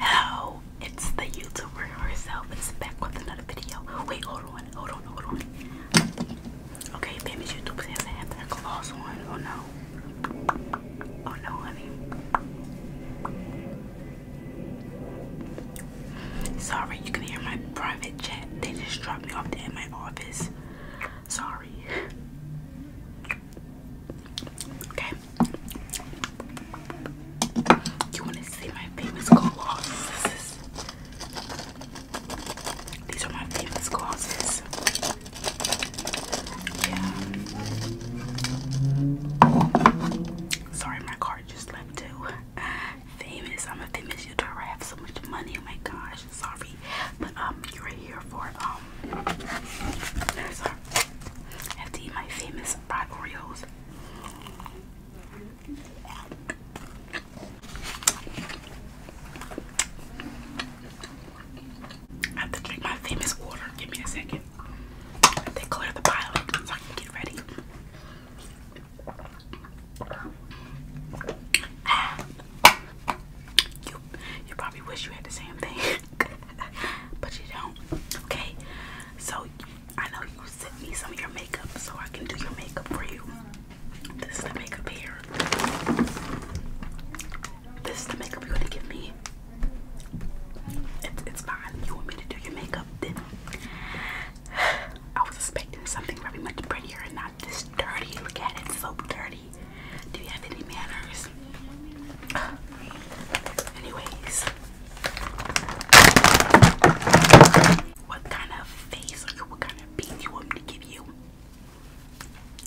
Hello, it's the YouTuber herself. It's back with another video. Wait, hold hold on, hold on. Okay, famous YouTube says I have like a Oh no. Oh no, honey. Sorry, you can hear my private chat. They just dropped me off at my office. Sorry. Okay. You want to see my famous co these are my favorite glosses. Yeah. Sorry, my card just left too. Famous. I'm a famous YouTuber. I have so much money. Oh my gosh. Sorry. But um you're here for um sorry. I have to eat my famous fried Oreos. I have to drink my famous water. Give me a second. They clear the pile so I can get ready. Ah. You, you probably wish you had the same thing, but you don't. Okay, so I know you sent me some of your makeup so I can do your makeup for you. This is the makeup here. This is the makeup you're gonna give me. It's, fine. You want me to do your makeup? Then I was expecting something very much prettier and not this dirty. Look at it, so dirty. Do you have any manners? anyways, what kind of face or what kind of beat you want me to give you?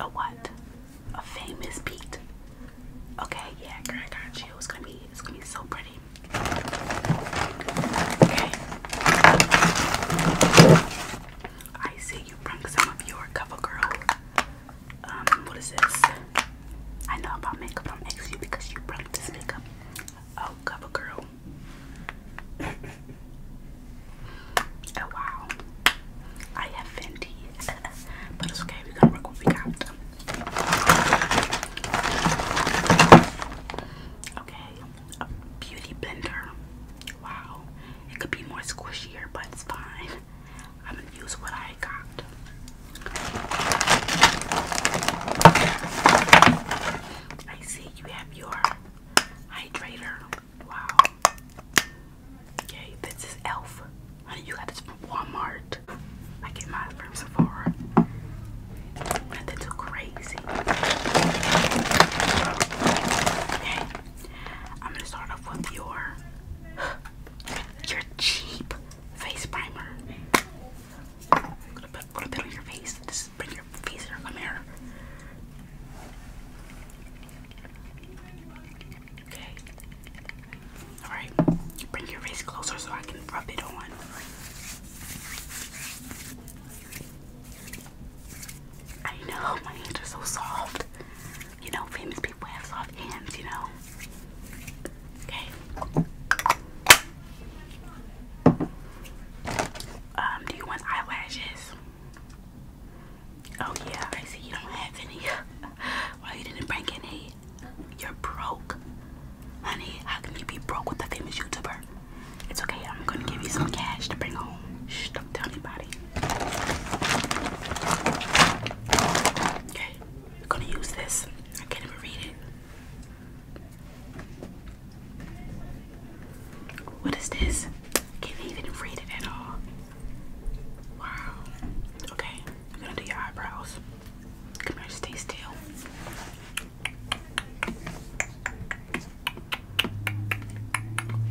A what? A famous beat. Okay, yeah, girl, I got you. It's gonna be it's gonna be so pretty. Okay. I see you bring some of your cover girl. Um, what is this? I know about makeup. I'm asking you because you brought this makeup. Oh, cover girl oh wow. I have Fenty. but it's okay, we gonna work what we got. Okay, beauty blender. Wow. It could be more squishier, but it's fine. I'm gonna use what I got. I see you have your hydrator. Wow. Okay, this is Elf. Honey, you got this from Walmart. I get mine from Sephora. Nothing too crazy. Okay, I'm gonna start off with your your cheap face primer. I'm gonna put a little bit on your face. Just bring your face in your mirror. Okay. Alright. Bring your face closer so I can rub it on. I know my hands are so soft. You know, famous people have soft hands, you know. Okay um, do you want eyelashes? Oh yeah, I see you don't have any. Why you didn't bring any? You're broke. Honey, how can you be broke with a famous YouTuber? It's okay, I'm gonna give you some cash to bring home. Shh, don't tell anybody. Okay, we're gonna use this. I can't even read it. What is this? Can't even read it at all. Wow. Okay, I'm gonna do your eyebrows. Come here, stay still.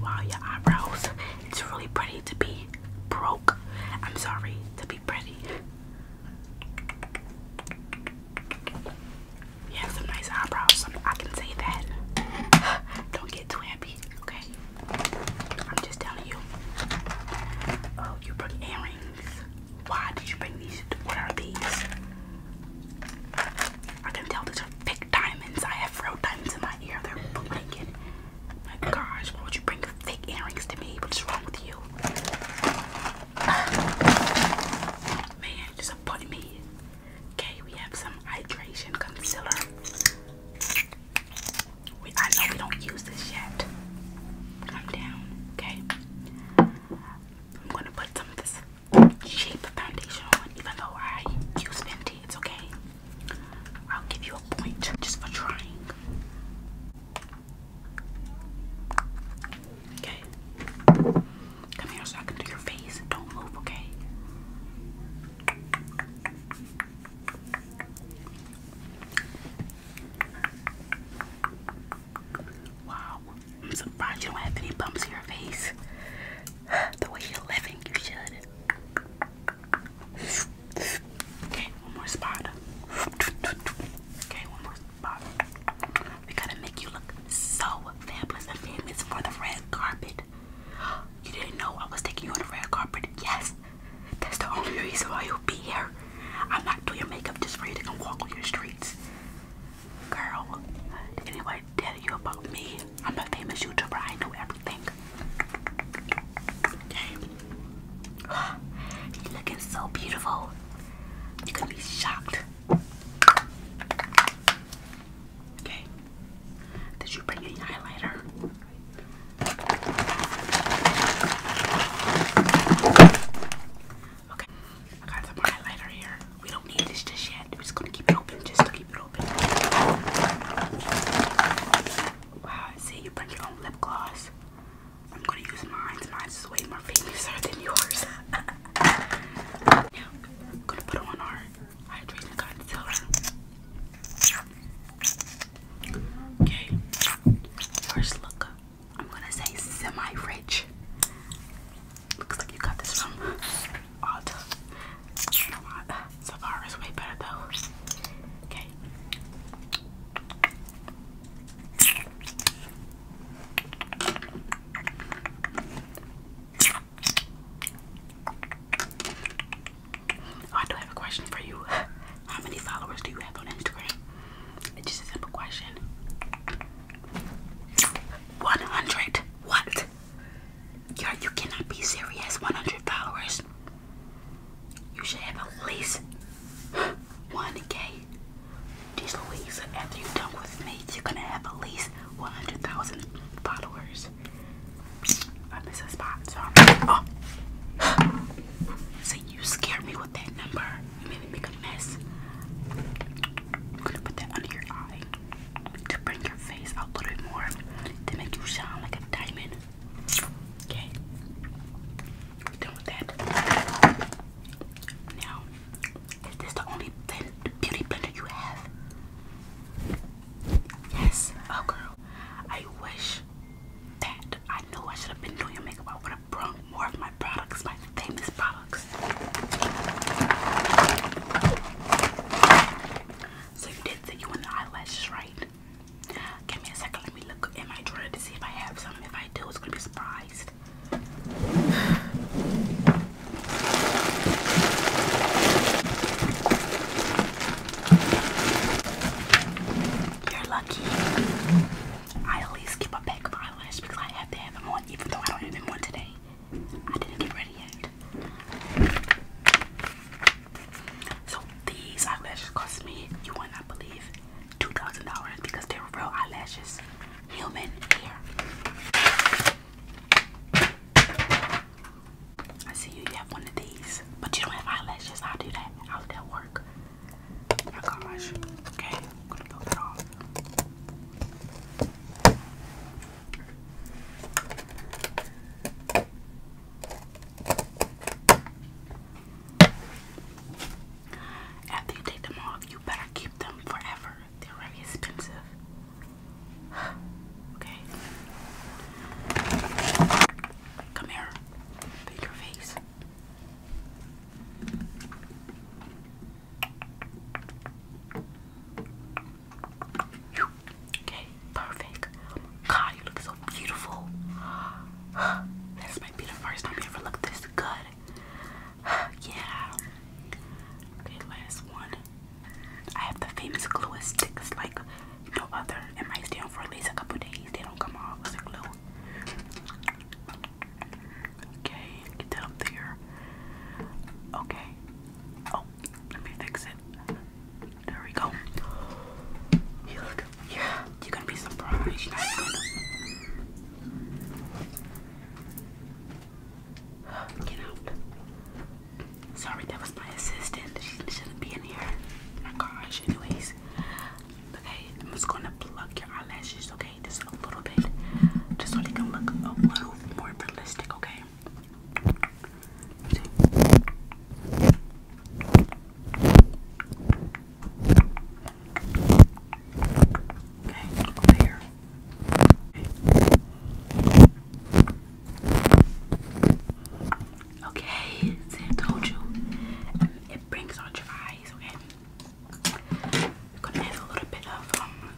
Wow, your eyebrows. It's really pretty to be broke. I'm sorry, to be pretty. You have some nice eyebrows. Some, I can say that. Don't get too happy, okay? I'm just telling you. Oh, you brought earrings. Why did you bring these? What are these? I can tell these are fake diamonds. I have real diamonds in my ear. They're blinking. My gosh, why would you bring fake earrings to me? What's wrong with you? man disappointed me. Okay, we have some hydration concealer. I know we don't use this yet. Come down, okay? I'm gonna put some of this shape foundation on, even though I use Fenty, okay. I'll give you a point just for trying. Okay. Come here so I can do your face. Don't move, okay? Wow, I'm surprised you don't have any bumps in your face. The way you're living, you should. Okay, one more spot. Okay, one more we gotta make you look so fabulous and famous for the red carpet. You didn't know I was taking you on the red carpet? Yes. That's the only reason why you'll be here. I'm not doing your makeup just for you to walk on your streets. Girl, did tell you about me? I'm a famous YouTuber. I know everything. You're looking so beautiful. You're gonna be shocked Okay. Did you bring any highlighter? Okay. I got some highlighter here. We don't need this just yet. We're just gonna keep it open just to keep it open. Wow, see you bring your own lip gloss. I'm gonna use mine. Mine's way more famous than yours. Now, I'm gonna put on our hydrating concealer. Okay, first look, I'm gonna say semi rich. Looks like you got this from Ulta. Sephara's way better though. Okay. I do have a question for you. How many followers do you have on Instagram? It's just a simple question. 100. What? Yo, you cannot be serious. 100 followers. You should have at least 1k these Louise, after you're done with me, you're gonna have at least 100,000 followers. I miss a spot, so I'm oh. See, you scared me with that number. You made me make a mess. I'm gonna put that under your eye to bring your face out a little bit more to make you shine like a diamond. Okay, done with that. Now, is this the only beauty blender you have? Yes. Oh, girl. I wish that I knew I should have been doing your makeup. I would have brought more of my products, my famous products. So you did say you want eyelashes, right? Give me a second. Let me look in my drawer to see if I have some. If I do, it's gonna be surprised. You're lucky. I at least keep a pack of eyelash because I have to have them on, even though I don't have them on today. I didn't get ready yet. So these eyelashes cost me, you would not believe, $2,000 because they were real eyelashes human hair. I see you, have one of these, but you don't have eyelashes. i do that. How would that work? my gosh. Okay, I'm gonna go that off. After you take them off, you better keep them forever. They're very expensive. okay. Come here. Put your Okay, perfect. God, you look so beautiful. This might be the first time you ever looked this good. yeah. Okay, last one. I have the famous glue sticks like no other. It might stay for at least a couple days. They don't come off Okay, get that up there. Okay. Oh, let me fix it. There we go. yeah, you're gonna be surprised. Get out. Sorry, that was my assistant. She shouldn't be in here. My gosh. Anyways, okay, I'm just gonna pluck your eyelashes, okay, just a little bit, just so they can look a little more realistic, okay. Okay, over here. Okay, told you. It brings out your eyes, okay? gonna have a little bit of um,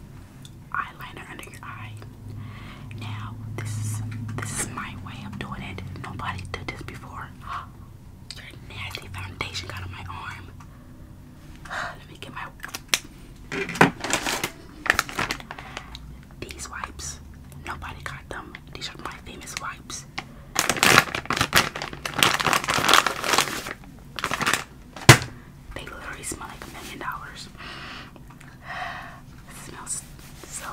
eyeliner under your eye. Now, this is this is my way of doing it. Nobody did this before. Your nasty foundation got on my arm. Let me get my these wipes. Nobody got them. These are my famous wipes. They literally smell like a million dollars. smells so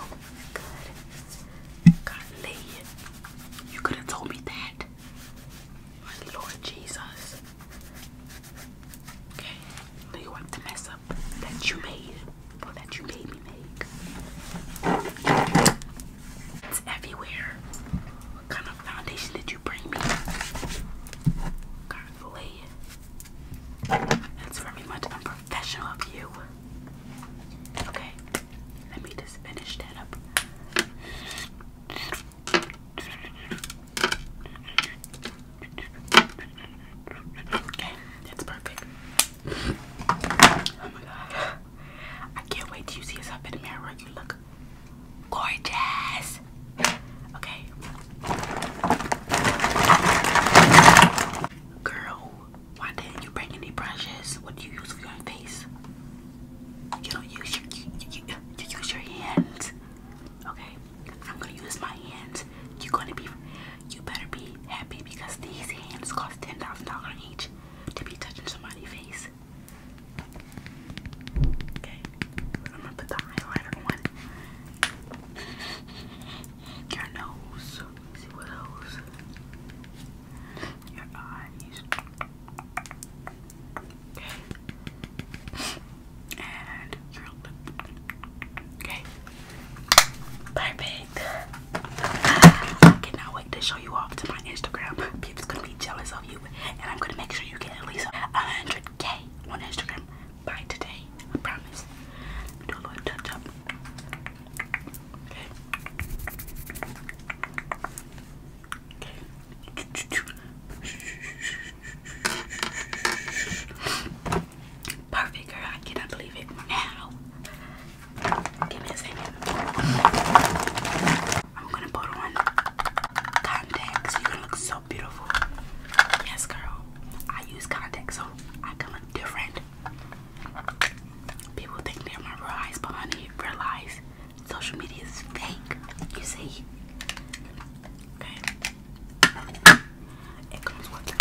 good. Golly, you could have told me that. My Lord Jesus. Okay, do you want to mess up that you made or oh, that you made me make? It's everywhere. What kind of foundation did you bring me? Godly. That's very much unprofessional of you. Okay, let me just finish that up. Okay, that's perfect. Oh my god. I can't wait till you see yourself in the mirror. You look gorgeous. Okay. Girl, why didn't you bring any brushes? What do you use for your face? You don't use your you, you, use your hands. Okay, I'm gonna use my hands. You're gonna be you better be happy because these hands cost ten thousand dollars each to be touching somebody's face. Okay, I'm gonna put the highlighter on your nose. See what else? Your eyes. And curl Okay. Perfect. I cannot wait to show you off to my Instagram. Pips gonna be jealous of you. And I'm gonna make sure you get at least a 100k on Instagram by today. I promise. Do a little touch up. Okay. Perfect, girl. I cannot believe it now. Give me a second. I'm gonna put on contact, so you can look so beautiful. Yes, girl. I use contact, so I can look different. People think they're my eyes, but honey, real eyes Social media is fake, you see. Okay. It comes with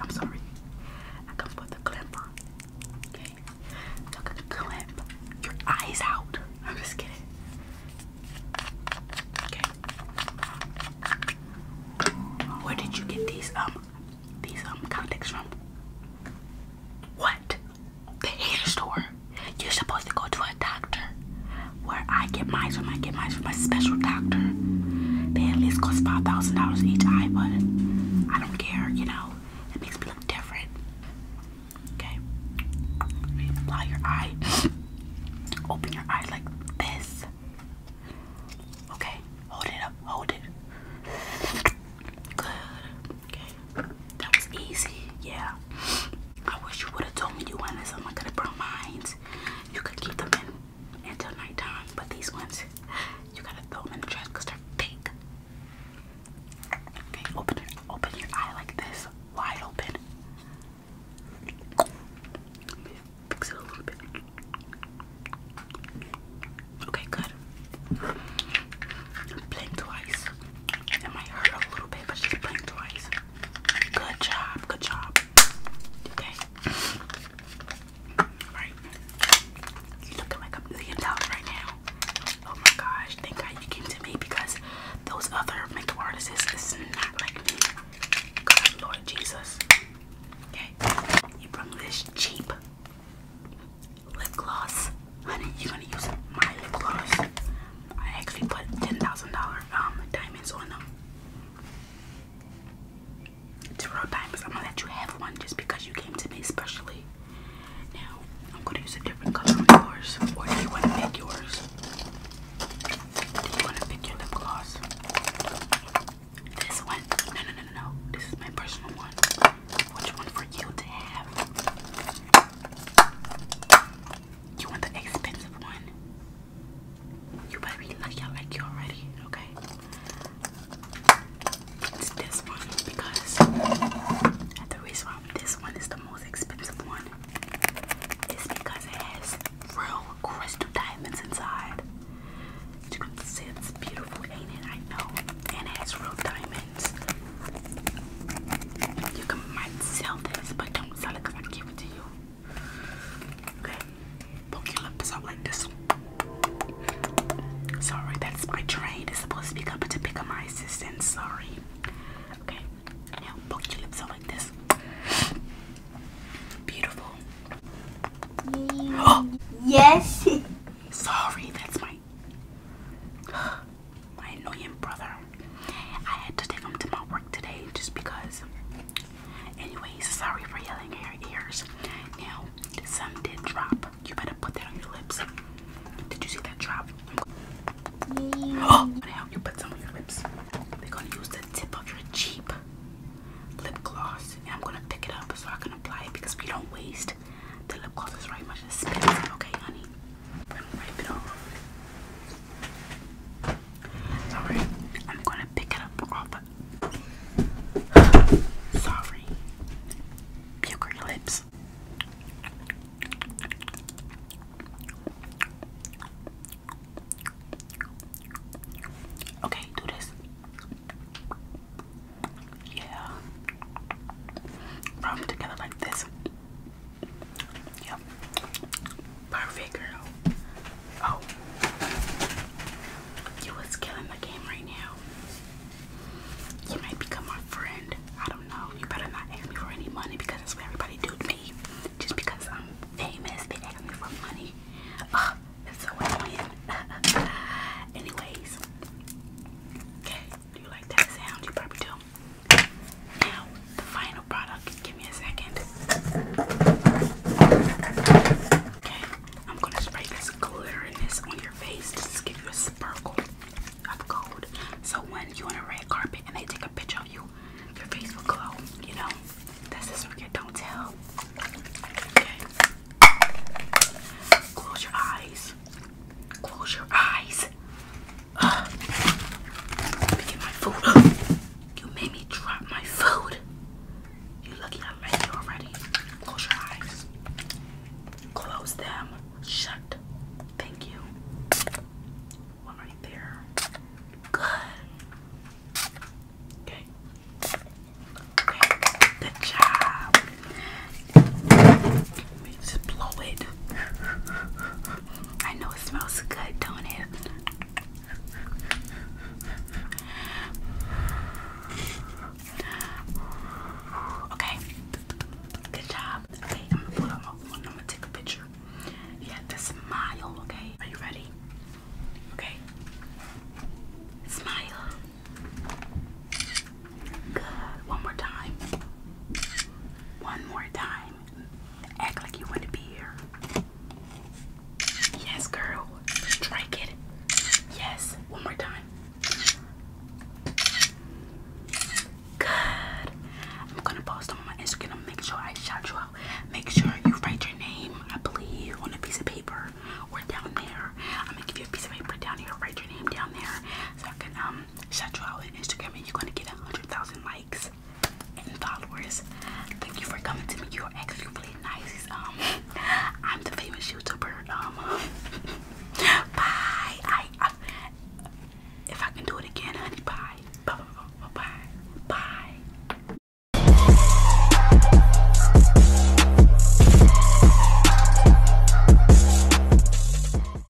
I'm sorry. I comes with the clamp Okay. Look at the Your eyes out. I'm just kidding. Okay. Where did you get these um these um contacts from? What? the hair store. You're supposed to go to a doctor. Where I get mine from, I get mine from my special doctor. They at least cost five thousand dollars each eye, but I don't care, you know. It makes me look different. Okay. You your eye. Open your eye like this. Okay. Hold it up. Hold it. Good. Okay, that was easy. Yeah, I wish you would have told me you wanted some. I could have mine. You could keep them in until nighttime, but these ones, you gotta throw them in the trash because they're fake. Okay, open your open your eye like this, wide open. fix it a little bit. Okay, good blink twice. It might hurt a little bit, but just blink twice. Good job, good job. Okay. Alright. you looking like a million dollars right now. Oh my gosh, thank God you came to me because those other makeup artists is not like me. Lord Jesus. Okay. You brought this cheap lip gloss honey, you're gonna use my lip gloss. I actually put ten thousand dollar um diamonds on them. It's real diamonds. I'm gonna let you have one just because you came to me especially. Now I'm gonna use a different color on yours, or do you want to pick yours? Do you want to pick your lip gloss? This one? no, no, no, no. This is my personal one. Which one for you to have? You want the expensive one? You better be lucky I like you already, okay? this one because the reason why this one is the most expensive one is because it has real crystal diamonds inside. You can see it's beautiful, ain't it? I know. And it has real diamonds. You can might sell this, but don't sell it I give it to you. Okay, poke your lips out like this. Sorry, that's my trade. It's supposed to be up to pick up my assistant. Sorry. Okay, now poke your lips out like this. Beautiful. Yes. Sorry, that's my. I my annoying brother. I had to take him to my work today just because. Anyway, sorry for yelling at your ears. Now, the sun did drop. You better put that on your lips. Did you see that drop? Oh, I'm gonna help you put some on your lips. We're gonna use the tip of your cheap lip gloss, and I'm gonna pick it up so I can apply it because we don't waste the lip gloss is very much expensive. Okay, honey. Sorry, I'm gonna pick it up Sorry, puker lips. Okay, do this. Yeah. Rub together like this. Yep. Perfect, girl. Oh. You was killing the game right now. You might become my friend. I don't know. You better not ask me for any money because that's what everybody do to me. Just because I'm famous, they ask me for money. Ugh, that's so annoying. Anyways. Okay. Do you like that sound? You probably do. Now, the final product. Give me a second. Okay, I'm gonna spray this glitteriness on your face to give you a sparkle of gold. So when you on a red carpet and they take a picture of you, your face will glow. You know, that's the secret. Don't tell. Okay. Close your eyes. Close your eyes. Uh, let me get my food. You made me drop my food. You lucky I'm ready already. Close your eyes. Close them shut. Thank you. One right there. Good. Okay. Okay. Good job. Let me just blow it. I know it smells good, don't it? Okay, good job. Okay, I'm gonna put on my phone. I'm gonna take a picture. You have smile, okay? Are you ready? Okay, smile. Good. One more time. One more time. Act like you want to be here. Yes, girl. Strike it. Yes. One more time. Good. I'm gonna post on my Instagram. Make sure I shout you out. Make sure you write your name, I believe, on a piece of paper or down there. I'm gonna give you a piece of paper down here. Write your name down there so I can um um all on Instagram and you're gonna get a hundred thousand likes and followers. Thank you for coming to me. You're actually really nice. Um I'm the famous YouTuber. Um Bye. if I can do it again, honey, Bye bye bye bye. bye.